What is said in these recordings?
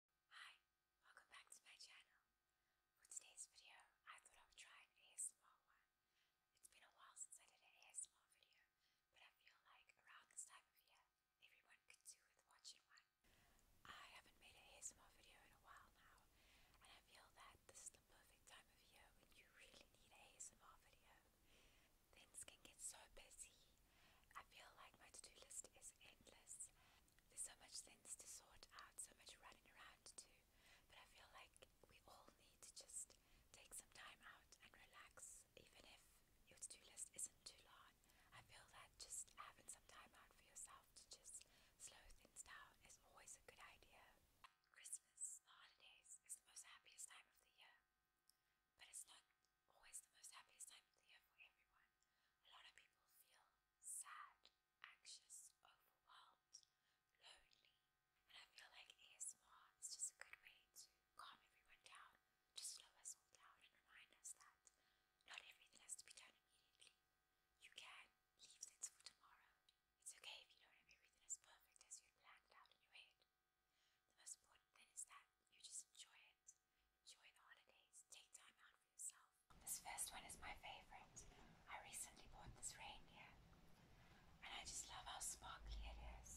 Hi, welcome back to my channel. For today's video, I thought I would try an ASMR one. It's been a while since I did an ASMR video, but I feel like around this time of year, everyone could do with watching one. I haven't made an ASMR video in a while now, and I feel that this is the perfect time of year when you really need an ASMR video. Things can get so busy. I feel like my to-do list is endless there's so much things to sort out, so much running around to do, but I feel like we all need to just take some time out and relax, even if your to do list isn't too long. I feel that just having some time out for yourself to just slow things down is always a good idea. Christmas, the holidays, is the most happiest time of the year, but it's not always the most happiest time of the year for everyone. A lot of people feel sad, anxious, overwhelmed, lonely. And I feel like ASMR is just a good way to calm everyone down, to slow us all down and remind us that not everything has to be done immediately. You can leave things for tomorrow. It's okay if you don't have everything as perfect as you had planned out in your head. The most important thing is that you just enjoy it. Enjoy the holidays. Take time out for yourself. This first one is my favorite. I recently bought this reindeer, and I just love how sparkly it is.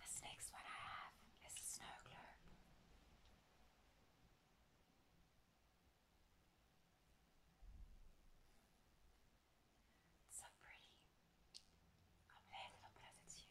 This next one I have is a snow globe. so pretty. I'll play a little bit of the tune.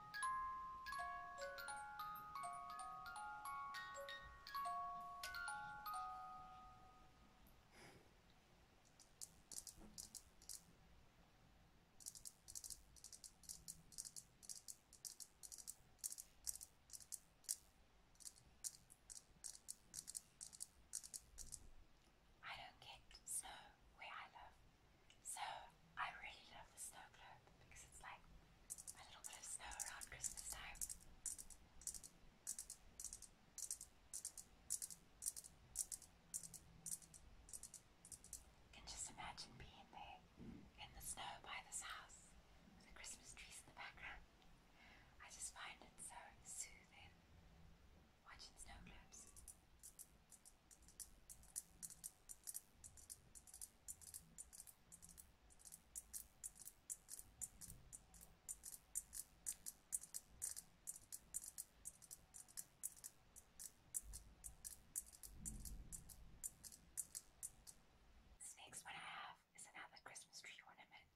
I don't get snow where I so I really love the snow because it's like a little bit of snow around Christmas time. You just imagine being there in the snow by this house with the Christmas trees in the background. I just find it so soothing watching snow this next one I have is another Christmas tree ornament.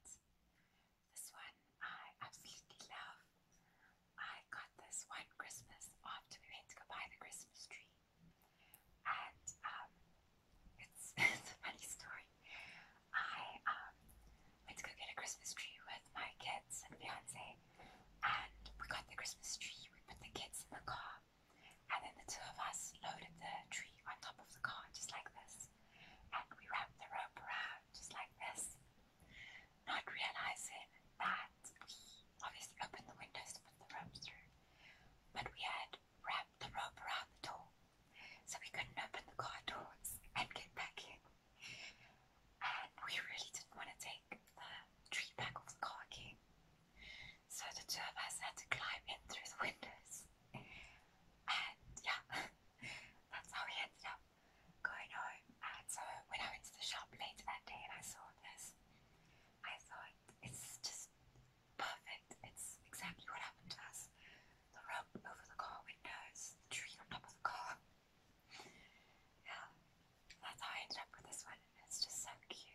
This one I absolutely love. I got this one Christmas after we went to go buy the Christmas tree. And um, it's, it's a funny story. I um, went to go get a Christmas tree with my kids and fiance, and we got the Christmas tree. We put the kids in the car, and then the two of us loaded the tree on top of the car, just like this. And we wrapped the rope around, just like this, not realizing that we obviously opened the windows to put the ropes through, but we had wrapped the rope around the door, so we couldn't open the car doors and get back in. And we really didn't want to take the tree back off the car again, so the two of us had to climb in through the windows. And yeah, that's how we ended up going home. And so when I went to the shop later that day and I saw this, I thought it's just perfect. It's exactly what happened to us. The rope over the car windows, the tree on top of the car. Yeah, that's how I ended up with this one. It's just so cute.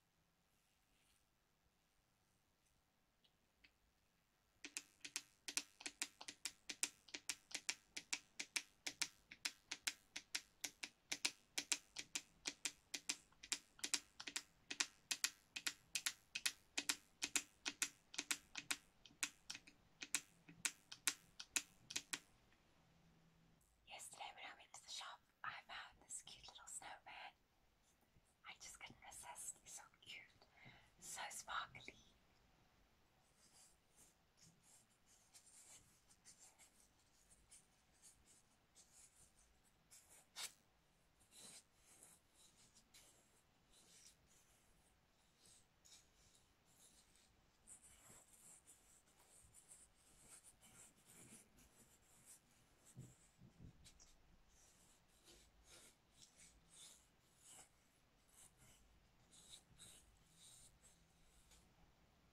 Yesterday when I went to the shop I found this cute little snowman I just couldn't resist. He's so cute, so sparkly.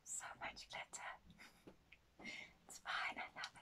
So much glitter. it's fine, I love it.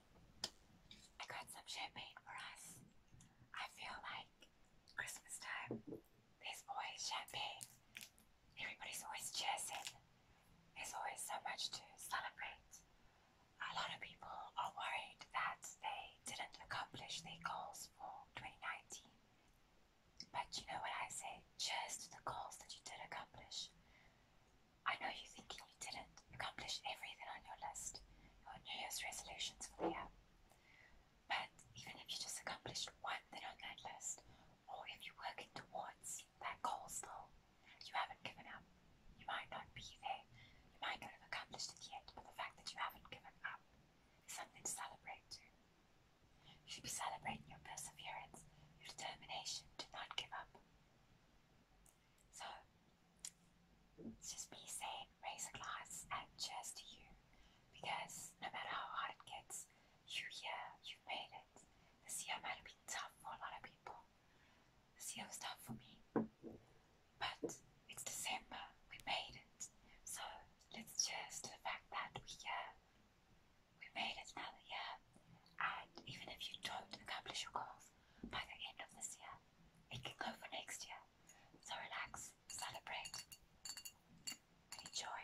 I got some champagne for us. I feel like Christmas time, there's always champagne. Everybody's always cheering. There's always so much to celebrate. A lot of people are worried that they didn't accomplish their goals for 2019. But you know what I say? Cheers to the goals that you did accomplish. I know you're thinking you didn't accomplish everything on your list, your New Year's resolutions for the year. But even if you just accomplished one thing on that list, or if you're working towards that goal still, you haven't given up. You might not be there, you might not have accomplished it yet, but the fact that you haven't given up is something to celebrate too. You should be celebrating your perseverance, your determination to not give up. So it's just me saying raise a glass and cheers to you because no matter how hard it gets, you yeah, you've made it. This year might have been tough for a lot of people. This year was tough for me. But it's December, we made it. So let's cheers to the fact that we yeah, uh, we made it another year. And even if you don't accomplish your goals, off by the end of this year. It can go for next year. So relax, celebrate, enjoy.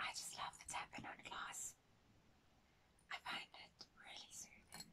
I just love the tapping on glass. I find it really soothing.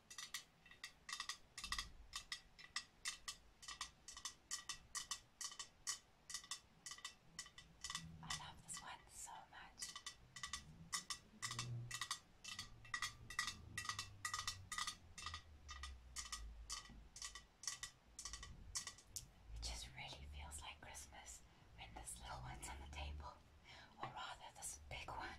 I love this one so much. It just really feels like Christmas when this little one's on the table, or rather, this big one.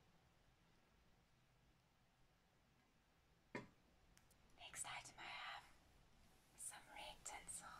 Next item I have is some red tinsel.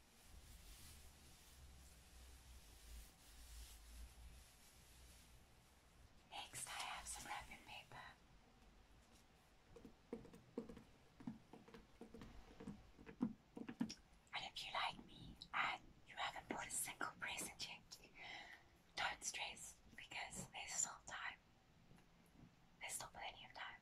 Next, I have some wrapping paper. And if you like me and you haven't bought a single present yet, don't stress because there's still time. There's still plenty of time.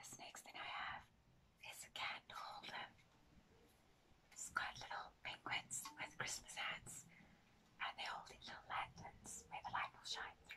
This next thing I have is a candle holder. It's got little penguins with Christmas hats, and they're little lanterns where the light will shine through.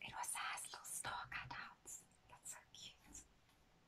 It also has little star cutouts. That's so cute.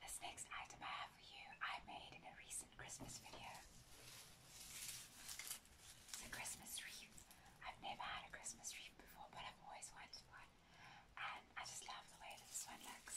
This next item I have for you I made in a recent Christmas video. It's a Christmas wreath. I've never had a Christmas wreath before, but I've always wanted one. And I just love the way this one looks.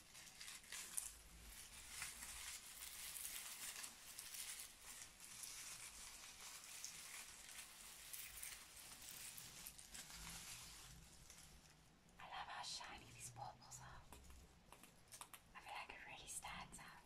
I love how shiny these bubbles are. I feel like it really stands out.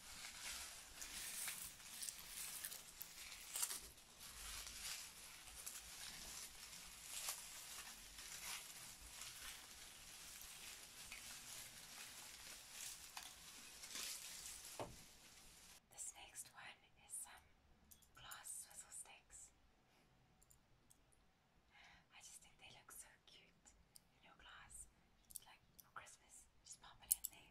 This next one is some glass swizzle sticks. I just think they look so cute in your It's like for oh, Christmas, just pop in there.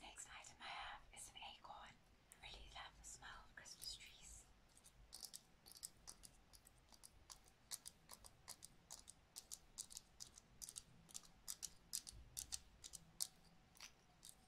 Next item I have is an acorn. I really love the smell of Christmas trees.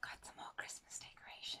Got some more Christmas decorations.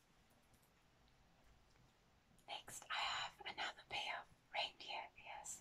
Next, I have another pair of reindeer ears.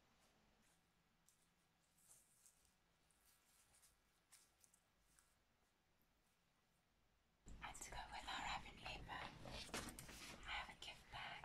And to go with our Avon Paper, I have a gift bag.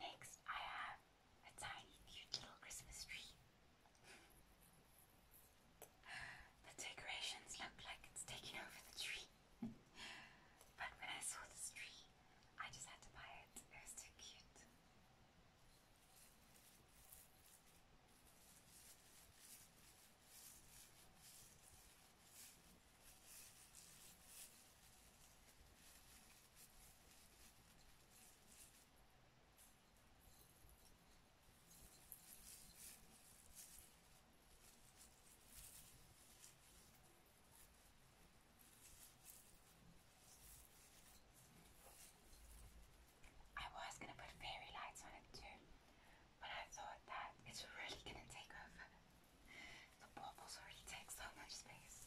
Next, I have a tiny, cute little Christmas tree. The decorations look like it's taking over the tree. but when I saw this tree, I just had to buy it. It was too cute. I was gonna put fairy lights on it too, but I thought that it's really gonna take over. The baubles already take so much space.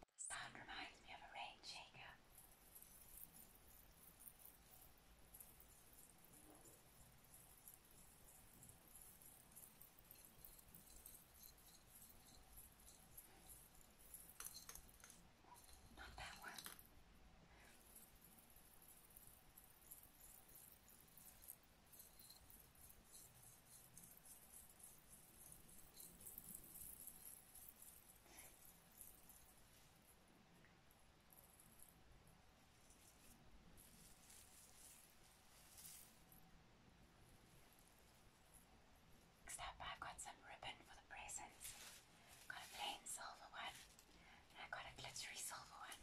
The sound reminds me of a rain uh, Not that one. Next up, I've got some ribbon for the presents. Got a plain silver one, and I got a glittery silver one.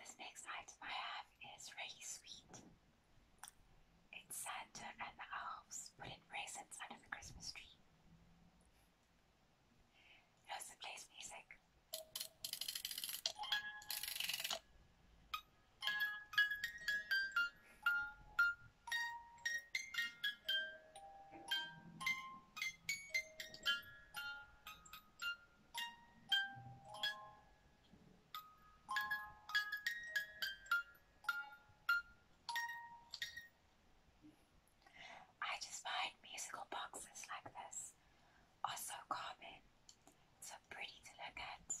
This next item I have is really sweet. It's Santa and the elves putting presents under the Christmas tree. Nelson plays music. I just find musical boxes like this are so calming, so pretty to look at.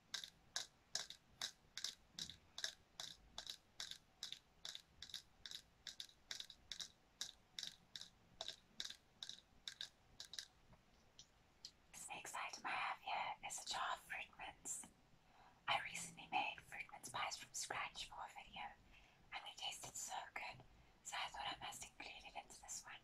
This next item I have here is a jar of Fruitmans. I recently made Fruitmans pies from scratch for a video and they tasted so good, so I thought I must include it into this one.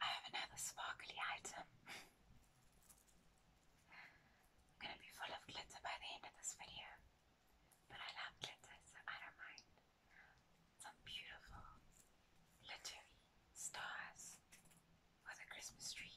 I have another sparkly item. I'm gonna be full of glitter by the end of this video, but I love glitter, so I don't mind. Some beautiful glittery stars for the Christmas tree.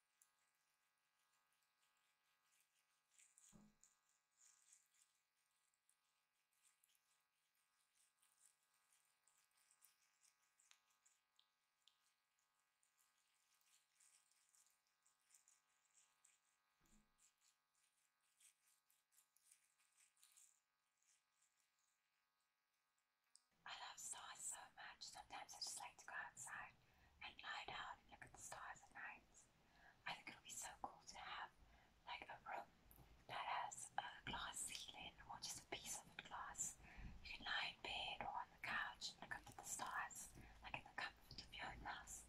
I love stars so much. Sometimes I just like to go outside and lie down and look at the stars at night. I think it'll be so cool to have like a room that has a glass ceiling or just a piece of glass. You can lie in bed or on the couch and look up at the stars, like in the comfort of your own house.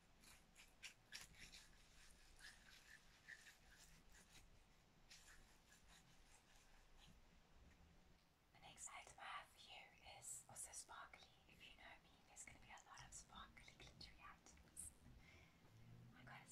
The next item I have for you is also sparkly. If you know me, there's going to be a lot of sparkly, glittery items. I got a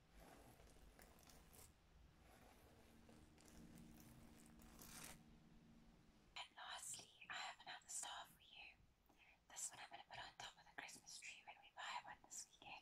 And lastly, I have another star for you. This one I'm going to put on top of the Christmas tree when we buy one this weekend.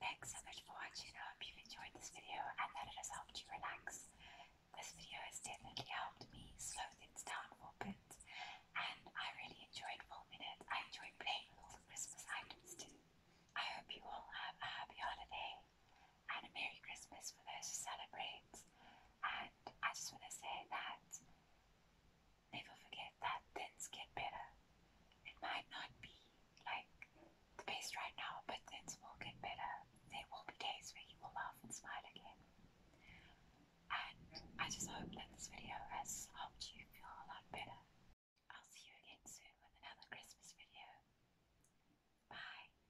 Thanks so much for watching. I hope you've enjoyed this video and that it has helped you relax. This video has definitely helped me slow things down for a bit, and I really enjoyed enjoyed playing with all the Christmas items too. I hope you all have a happy holiday and a Merry Christmas for those who celebrate. And I just want to say that never forget that things get better. It might not be like the best right now, but things will get better. There will be days where you will laugh and smile again. And I just hope that this video has helped you feel a lot better. I'll see you again soon with another Christmas video. Bye.